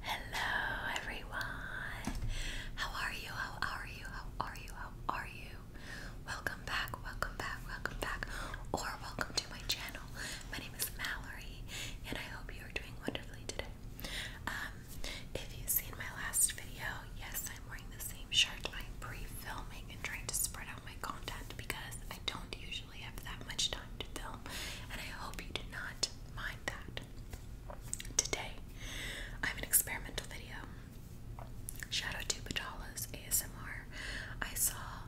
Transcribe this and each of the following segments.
Hello everyone. How are you? How are you? How are you? How are you? Welcome back. Welcome back. Welcome back. Or welcome to my channel. My name is Mallory and I hope you are doing wonderfully today. Um, if you've seen my last video, yes, I'm wearing the same shirt. I'm pre-filming and trying to spread out my content because I don't usually have that much time to film, and I hope you do not mind that. Today, I have an experimental video. Shadow out to Bajalas ASMR. I saw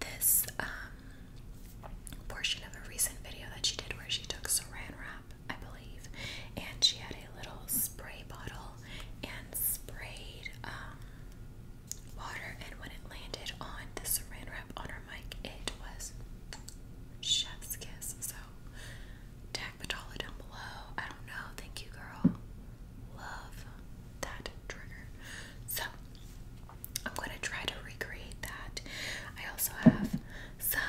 this um, portion of a recent video that she did where she took saran wrap, I believe, and she had a little spray bottle and sprayed um, water, and when it landed on the saran wrap, on her mic, it was chef's kiss. So tag Patala down below. I don't know. Thank you, girl. Love that trigger. So I'm gonna try to recreate that. I also have some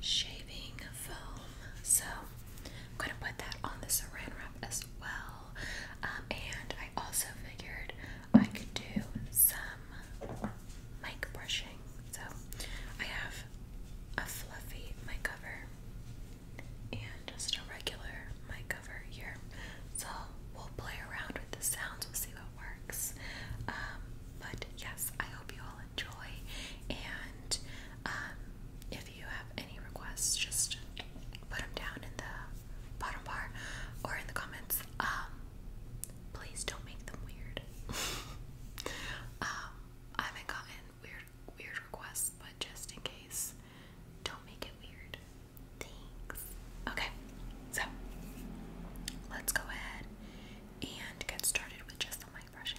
shaving foam, so I'm gonna put that on the saran wrap as well. Um, and I also figured I could do some mic brushing. So I have a fluffy mic cover and just a regular mic cover here. So we'll play around with the sounds, we'll see what works. Um, but yes, I hope you all enjoy. And um, if you have any requests, just put them down in the bottom bar or in the comments. Um, please don't make them weird. Um, I haven't gotten weird weird requests, but just in case, don't make it weird. Thanks. Okay, so let's go ahead and get started with just the mic brushing.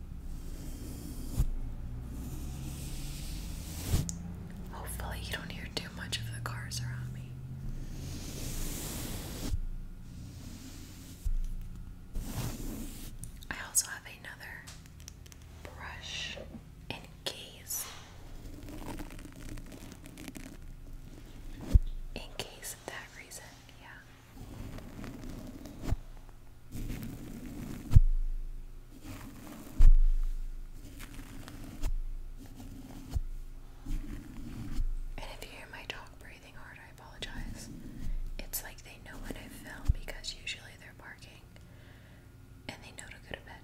Hopefully, you don't hear too much of the cars around me. I also have another brush and case. In case of that reason, yeah. And if you hear my dog breathing hard, I apologize. It's like they know when I fell because usually they're barking and they know to go to bed.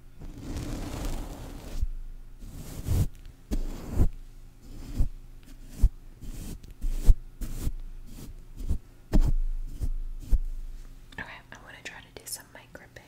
Okay, I want to try to do some mic gripping. Okay.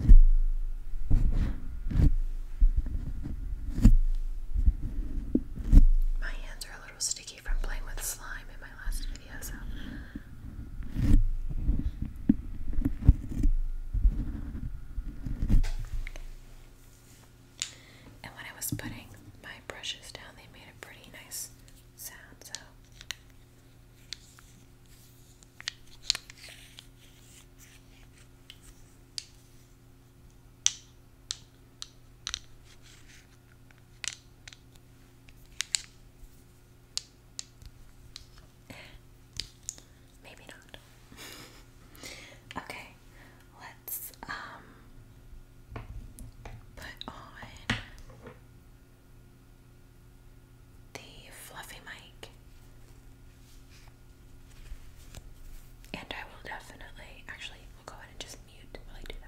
My hands are a little sticky from playing with slime in my last video, so. And when I was putting my brushes down, they made a pretty nice sound, so. Maybe not. okay, let's um put on the fluffy mic. And I will definitely, actually, we'll go ahead and just mute while I do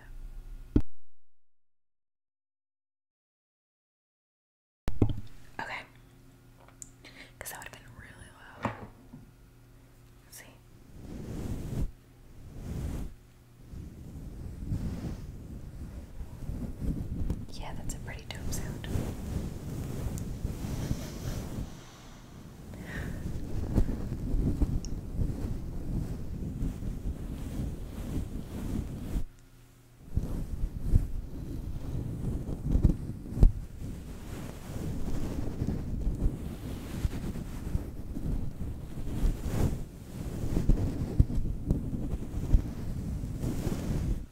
that. Okay. Because that would have been really loud. see. Yeah, that's a pretty dope sound.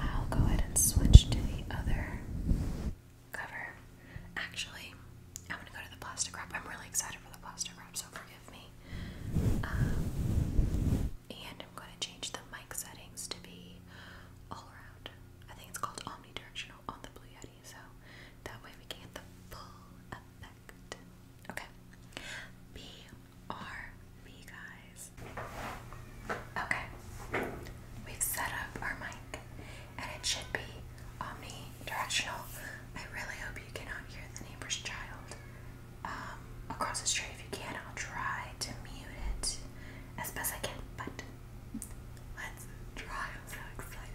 I'll go ahead and switch to the other cover. Actually, I'm gonna go to the plastic wrap. I'm really excited for the plastic wrap, so forgive me. Um, and I'm gonna change the mic settings to be all around. I think it's called omnidirectional on the blue yet so that way we can get the full effect. Okay. B R B guys. Okay. We've set up our mic and it should be omnidirectional. I really hope you cannot hear the neighbor's child. Um, across the street if you can, I'll try to mute it as best I can, but Let's try. I'm so excited.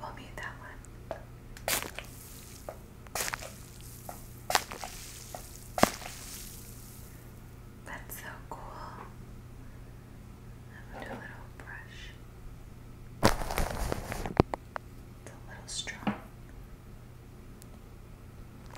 We'll mute that one. That's so cool. I'm do a little brush. It's a little strong.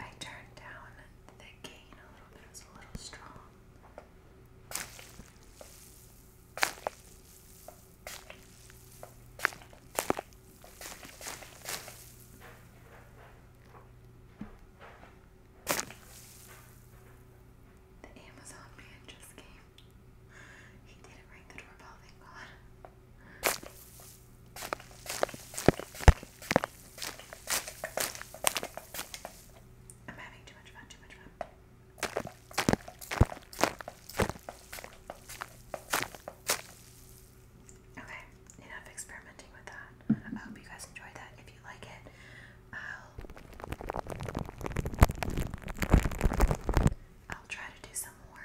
I turned down the gain a little bit, it a little strong. The Amazon man just came. He didn't ring the doorbell, thank God. I'm having too much fun, too much fun. Okay, enough experimenting with that. I hope you guys enjoyed that. If you like it, I'll try to do some more.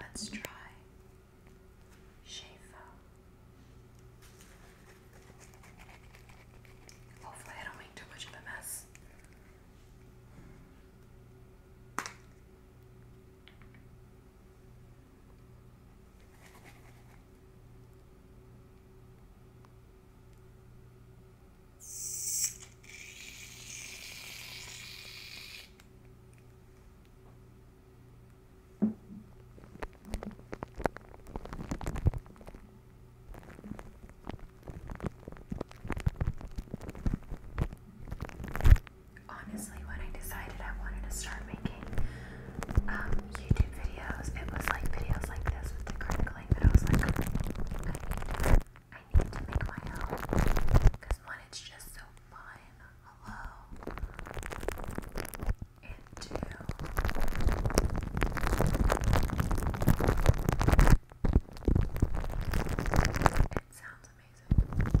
Let's try Shafo. Hopefully, I don't make too much of a mess. Honestly, when I decided I wanted to start making um, YouTube videos. It was like videos like this with the critical. that I was like, need, to make my own. Because one, it's just so fun. Hello. And two, it sounds amazing.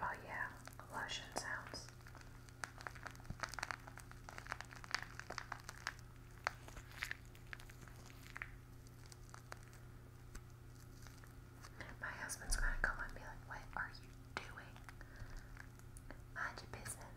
Oh yeah, lotion sounds. My husband's gonna come and be like, what are you doing? Mind your business.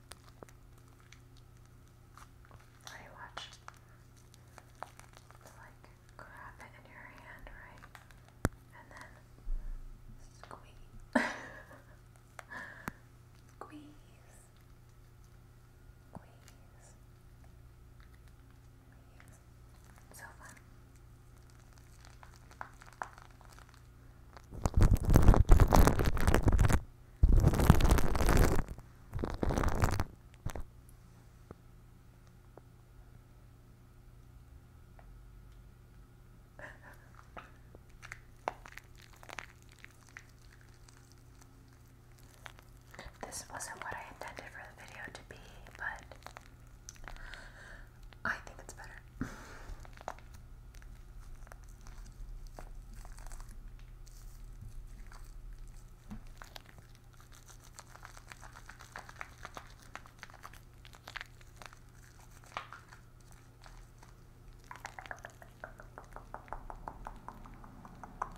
I watch. Like grab it in your hand, right? And then squeeze. squeeze. Squeeze. Squeeze. So fun. This wasn't what I intended for the video to be, but I think it's better.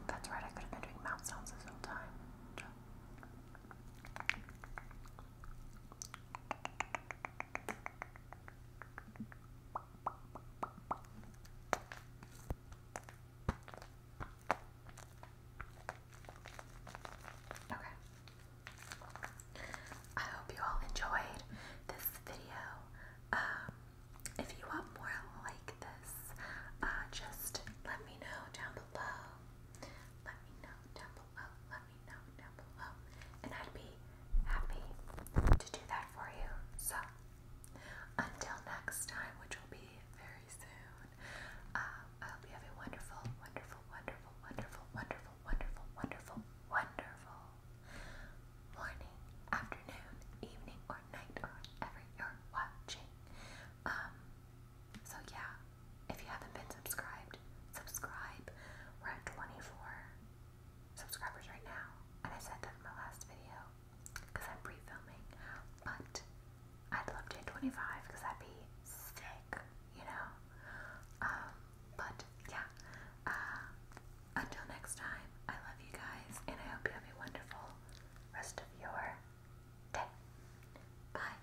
That's right, I could have been doing mouth sounds this whole time. Okay. I hope you all enjoyed this video. Um, if you want more like this, uh, just let me know down below. Let me know down below let me know down below, and I'd be happy to do that for you. So, until next time, which will be very soon, um, I hope you have a wonderful, wonderful, wonderful, wonderful, wonderful, wonderful, wonderful, wonderful morning, afternoon, evening, or night, or whenever you're watching. Um, so yeah, if you haven't been subscribed, subscribe. We're at 24 subscribers right now. And I said that in my last video because I'm pre filming. But I'd love to hit 25 because that'd be sick, you know? Um, but yeah. Uh, until next time, I love you guys and I hope you have a wonderful rest of your day. Bye.